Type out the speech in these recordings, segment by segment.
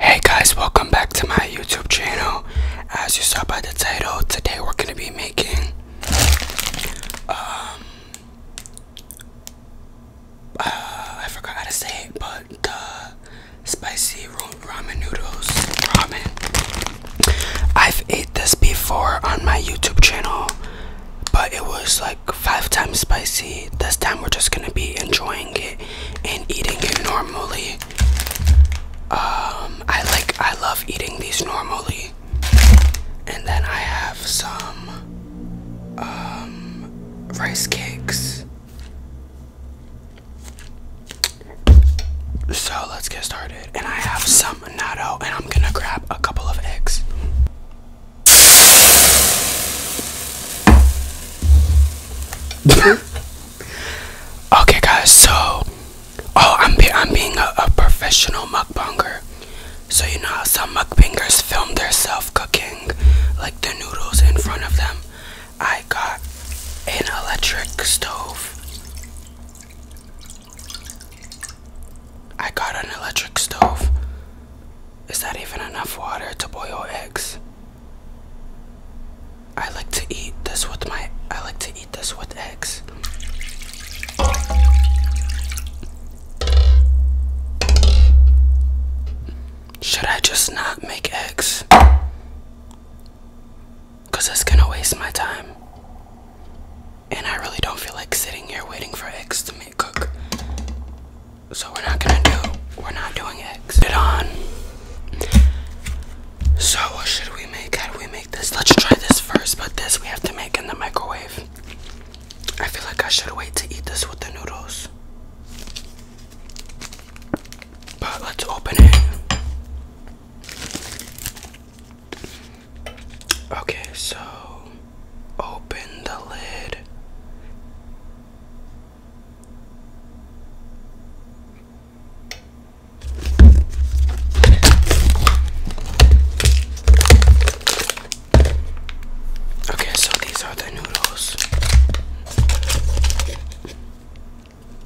Hey guys, welcome back to my YouTube channel. As you saw by the title, today we're going to be making um uh, I forgot how to say it, but the spicy ramen noodles ramen. I've ate this before on my YouTube channel, but it was like five times spicy. This time we're just gonna be enjoying it and eating it normally. Um, I like, I love eating these normally. And then I have some um, rice cakes. So let's get started. And I have some and I'm gonna grab a couple of eggs. okay, guys. So, oh, I'm I'm being a, a professional mukbanger. So you know how some mukbangers film themselves cooking, like the noodles in front of them. I got an electric stove. I got an electric stove. Is that even enough water to boil eggs? I like to eat this with my I like to eat this with eggs. Should I just not make eggs? Because it's gonna waste my time. And I really don't feel like sitting here waiting for eggs to make cook. So we're not gonna do, we're not doing eggs. Put it on. So what should we make? How do we make this? Let's try this first, but this we have to make in the microwave. I feel like I should wait to eat this with the noodles. But let's open it. Okay, so open the lid. Okay, so these are the noodles.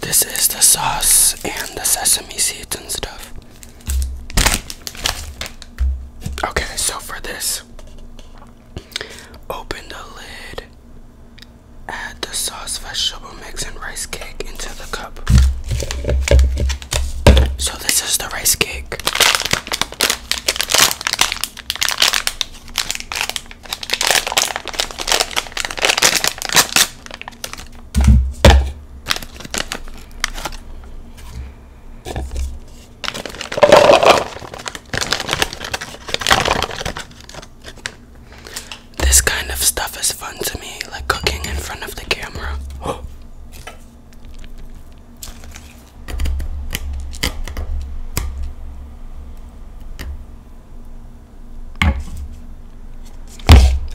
This is the sauce and the sesame seeds and stuff. Okay, so for this, open the lid, add the sauce, vegetable mix, and rice cake into the cup. So, this is the rice cake. This kind of stuff is fun to me, like cooking in front of the camera.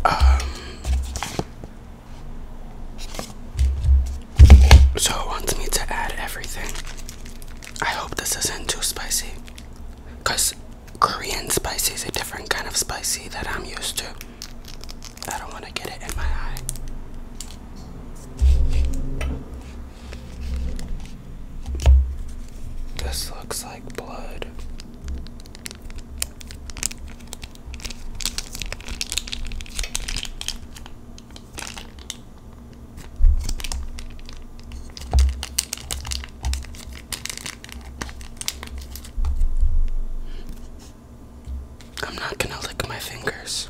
Um, so wants me to add everything. I hope this isn't too spicy. Because Korean spicy is a different kind of spicy that I'm used to. I don't want to get it in my eye. This looks like blood. I'm not going to lick my fingers.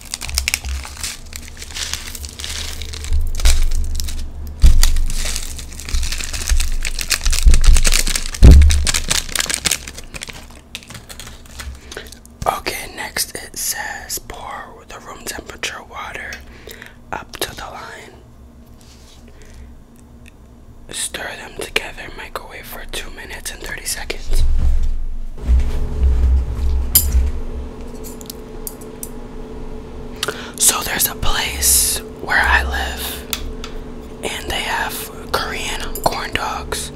Okay, next it says pour the room temperature water up to the line. Stir them together, microwave for 2 minutes and 30 seconds. So there's a place where I live and they have Korean corn dogs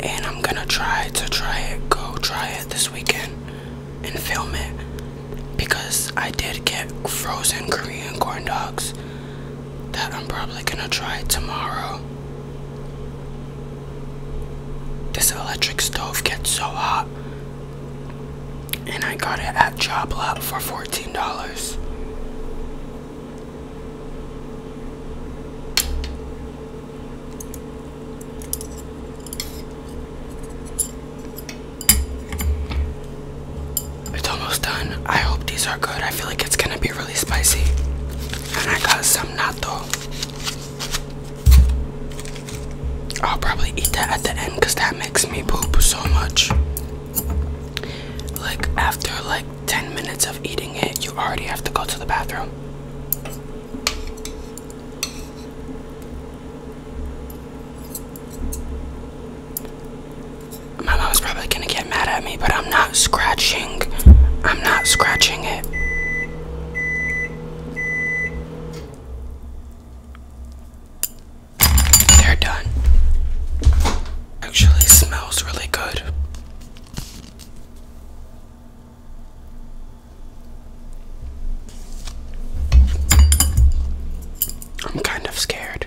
and I'm gonna try to try it go try it this weekend and film it because I did get frozen Korean corn dogs that I'm probably gonna try tomorrow this electric stove gets so hot, and I got it at Job Lot for $14. It's almost done. I hope these are good. I feel like it's gonna be really spicy. And I got some natto. I'll probably eat that at the end because that makes me poop so much. Like, after like 10 minutes of eating it, you already have to go to the bathroom. My mom's probably gonna get mad at me, but I'm not scratching. I'm not scratching it. They're done. Actually smells really good. I'm kind of scared.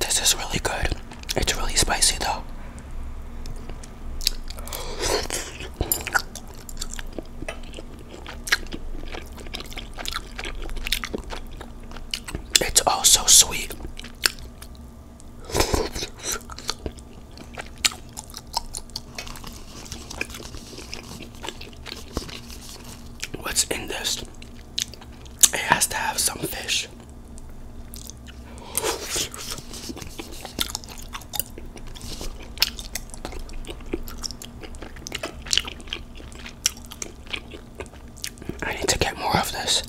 This is really good. It's really spicy though. It's also sweet. What's in this? It has to have some fish. I need to get more of this.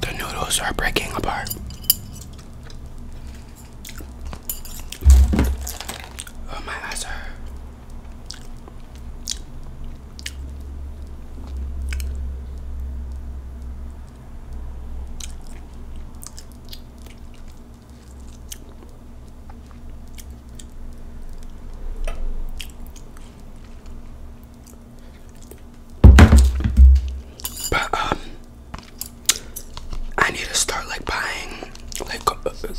The noodles are breaking apart. Oh, my eyes are. But um I need to start like buying, like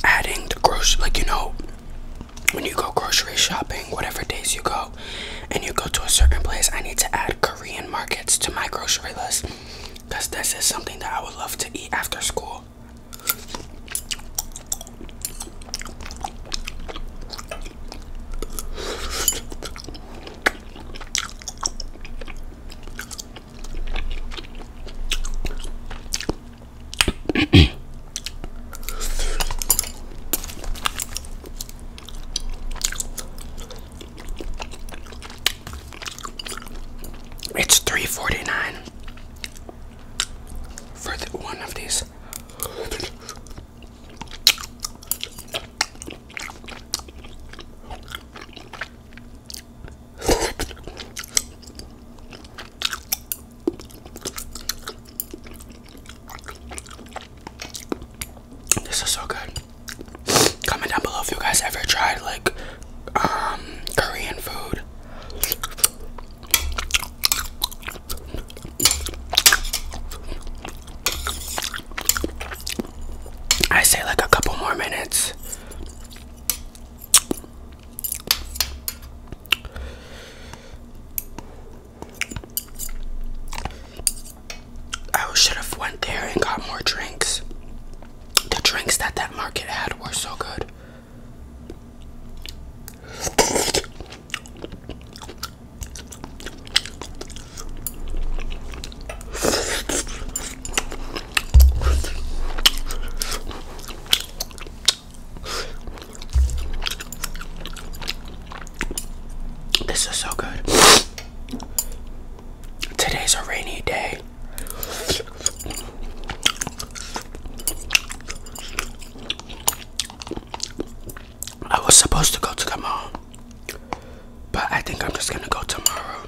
adding the grocery, like you know, when you go grocery shopping, whatever days you go, and you go to a certain place, I need to add Korean markets to my grocery list because this is something that I would love to eat after school it's three forty nine for one of these. This is so good. Comment down below if you guys ever tried like um Korean food. I say like a couple more minutes. I should have went there and got more drinks. The drinks that that market had were so good. This is so good. Today's a rainy day. I was supposed to go to the mall, but I think I'm just gonna go tomorrow.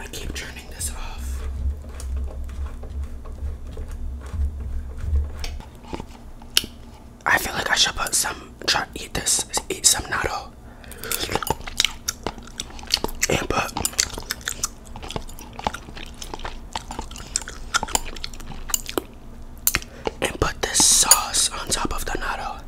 I keep turning this off. I feel like I should put some try eat this eat some natto and put and put this sauce on top of the natto.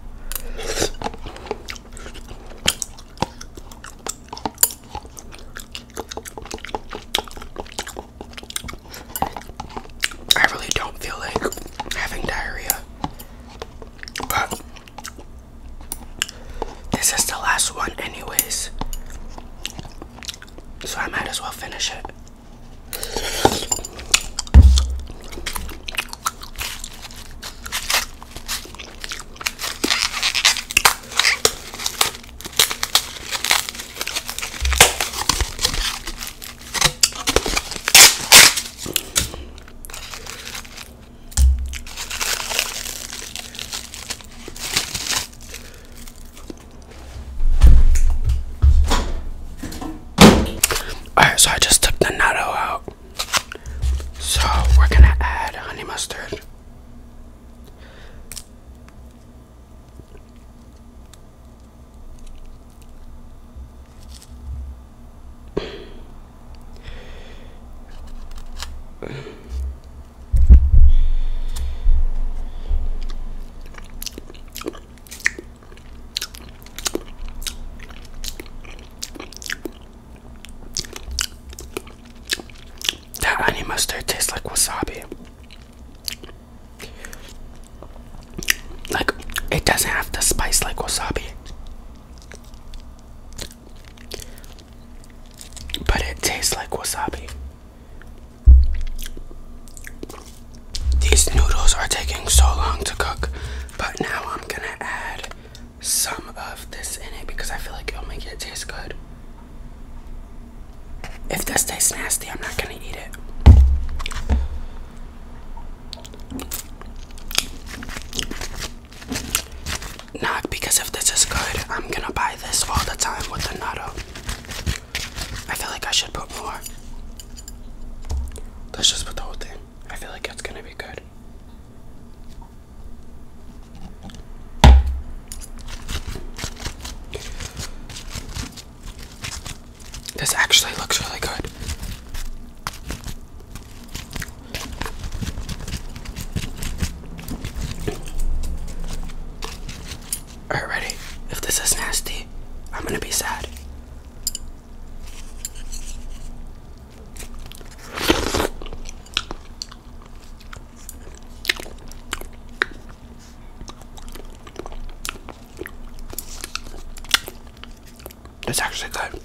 I really don't feel like having diarrhea, but this is the last one, anyways. So I might as well finish it. Alright, so I just took the natto out. So we're gonna add honey mustard. That honey mustard tastes like wasabi. Like, it doesn't have the spice like wasabi but it tastes like wasabi. These noodles are taking so long to cook, but now I'm gonna add some of this in it because I feel like it'll make it taste good. If this tastes nasty, I'm not gonna eat it. Not because if this is good, I'm gonna buy this all the time with the natto. I feel like I should put more. Let's just put the whole thing. I feel like it's gonna be good. This actually looks really good. All right, ready. if this is nasty, I'm gonna be sad. That's actually good.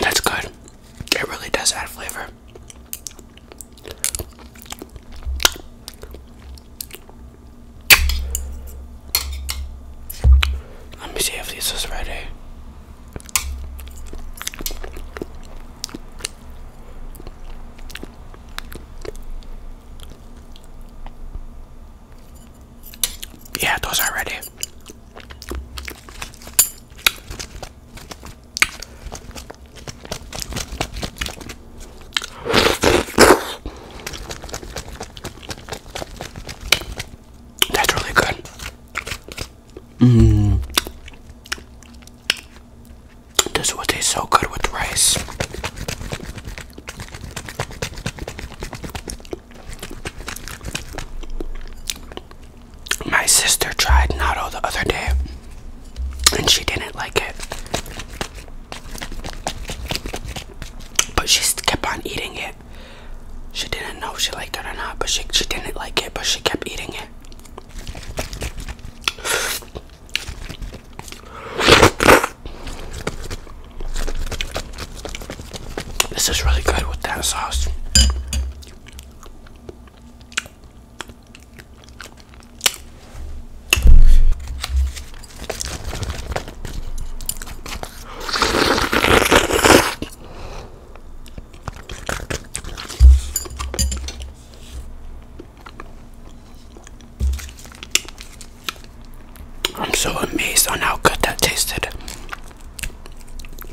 That's good. It really does add flavor. Let me see if this is ready. Yeah, those are ready. That's really good. Mmm. This would taste so good with rice. My sister tried natto the other day and she didn't like it. But she kept on eating it. She didn't know she liked it or not, but she, she didn't like it, but she kept eating it. This is really good with that sauce. I'm so amazed on how good that tasted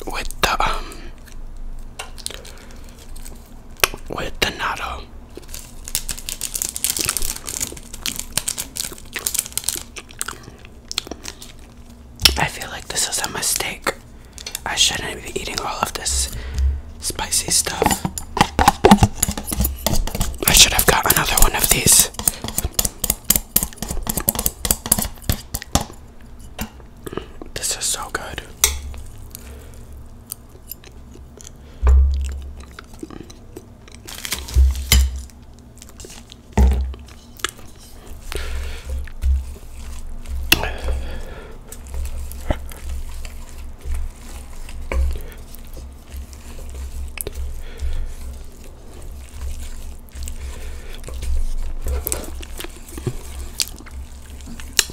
with the um with the natto. I feel like this is a mistake. I shouldn't be eating all of this spicy stuff. I should have got another one of these. This is so good.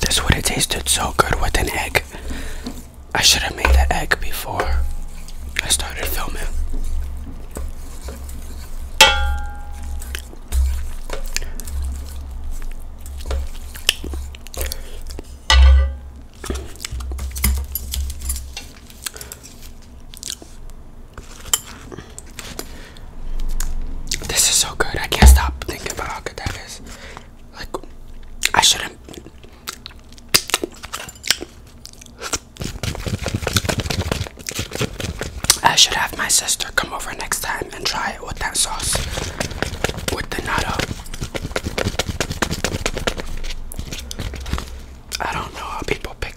This would have tasted so good with an egg. I should have made the egg before I started filming. This is so good. I can't stop thinking about how good that is. Like, I shouldn't. I should have my sister come over next time and try it with that sauce with the nata. I don't know how people pick.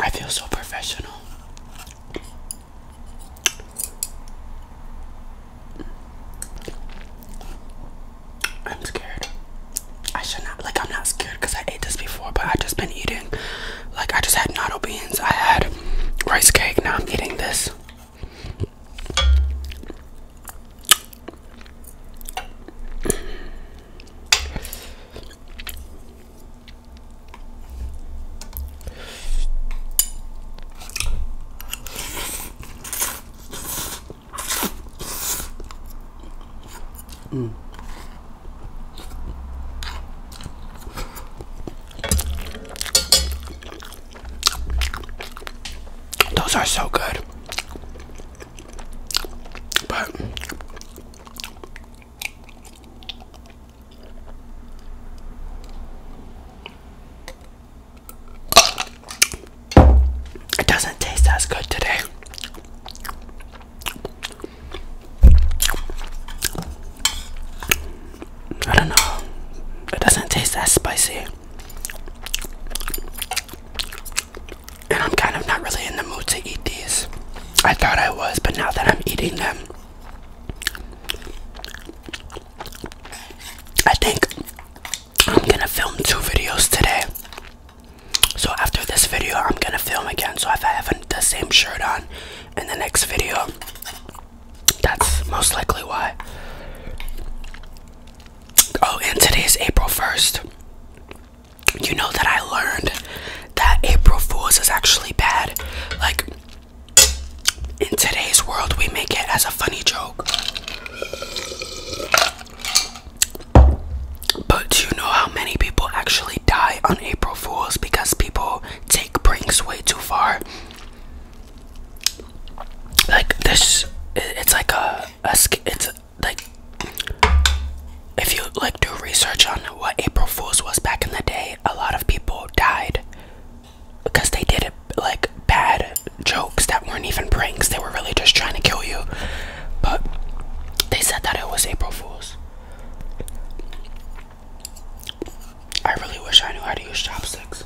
I feel so professional. I'm scared. I should not, like, I'm not scared because I ate this before, but I just been eating. Like, I just had natto beans, I had rice cake, now I'm eating this. Mm. Those are so good it doesn't taste as good today. I don't know. It doesn't taste as spicy and I'm kind of not really in the mood to eat these. I thought I was, but now that I'm eating them, I think I'm gonna film two videos today. So after this video, I'm gonna film again. So if I have the same shirt on in the next video, that's most likely why. Oh, and today is April 1st you know that I learned that April Fools is actually bad. Like, in today's world, we make it as a funny joke. But do you know how many people actually die on April Fools because people take pranks way too far? Like, this, it's like a, a it's like if you like do research on what April Fools was back in the day, a lot of people died because they did it like bad jokes that weren't even pranks. They were really just trying to kill you. But they said that it was April Fools. I really wish I knew how to use chopsticks.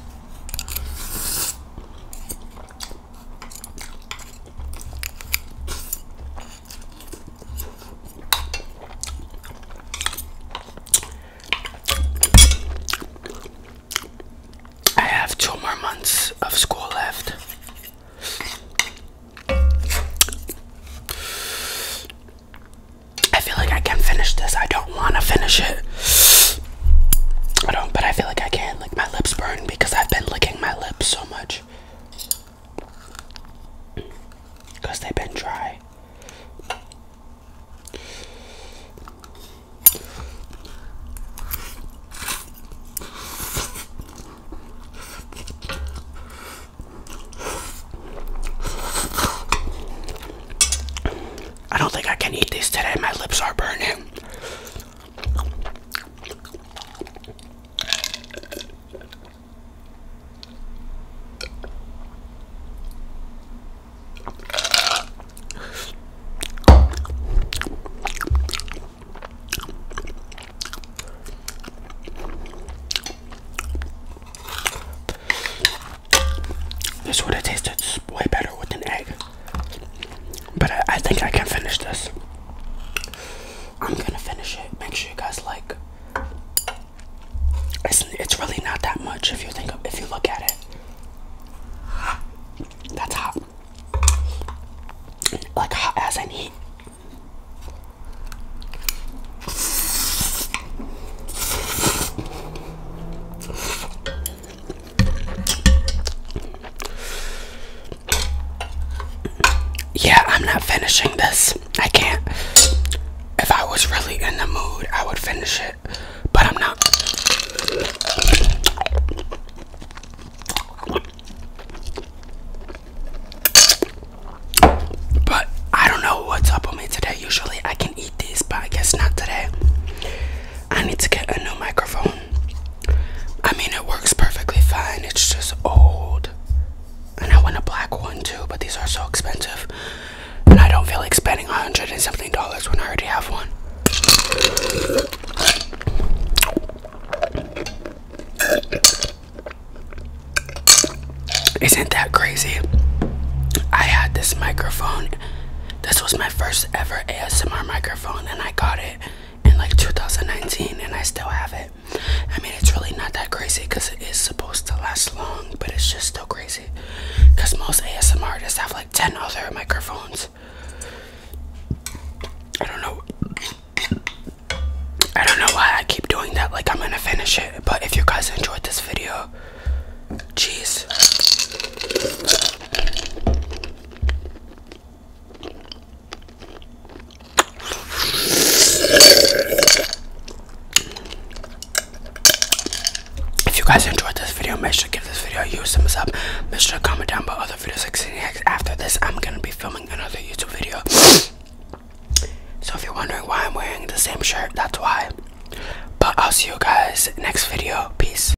I have two more months of school left. I feel like I can finish this. I don't want to finish it. I don't, but I feel like I can. Like my lips burn because I've been licking my lips because they've been dry. I don't think I can eat this today. My lips are burning. This would have tasted way better with an egg. But I, think I can finish this. I'm gonna finish it. Make sure you guys like. It's it's really not that much if you think of, if you look at it. That's hot. Like hot as I need. Yeah, I'm not finishing this. I can't. If I was really in the mood, I would finish it, but I'm not. But I don't know what's up with me today. Usually I can eat these, but I guess not today. I need to get a new microphone. I mean, it works perfectly fine. It's just old. And I want a black one too, but these are so expensive. And I don't feel like spending a hundred dollars when I already have one. Isn't that crazy? I had this microphone. This was my first ever ASMR microphone, and I got it in like 2019 and I still have it. I mean, it's really not that crazy because it is supposed to last long, but it's just still crazy because most ASMR artists have like 10 other microphones. I don't know. I don't know why I keep doing that. Like, I'm gonna finish it. But if you guys enjoyed this video, jeez. If you guys enjoyed this video, make sure to give this video a huge thumbs up. Make sure to comment down below other videos like CNX. After this, I'm gonna be filming another YouTube video. so if you're wondering why I'm wearing the same shirt, that's why. But I'll see you guys next video. Peace.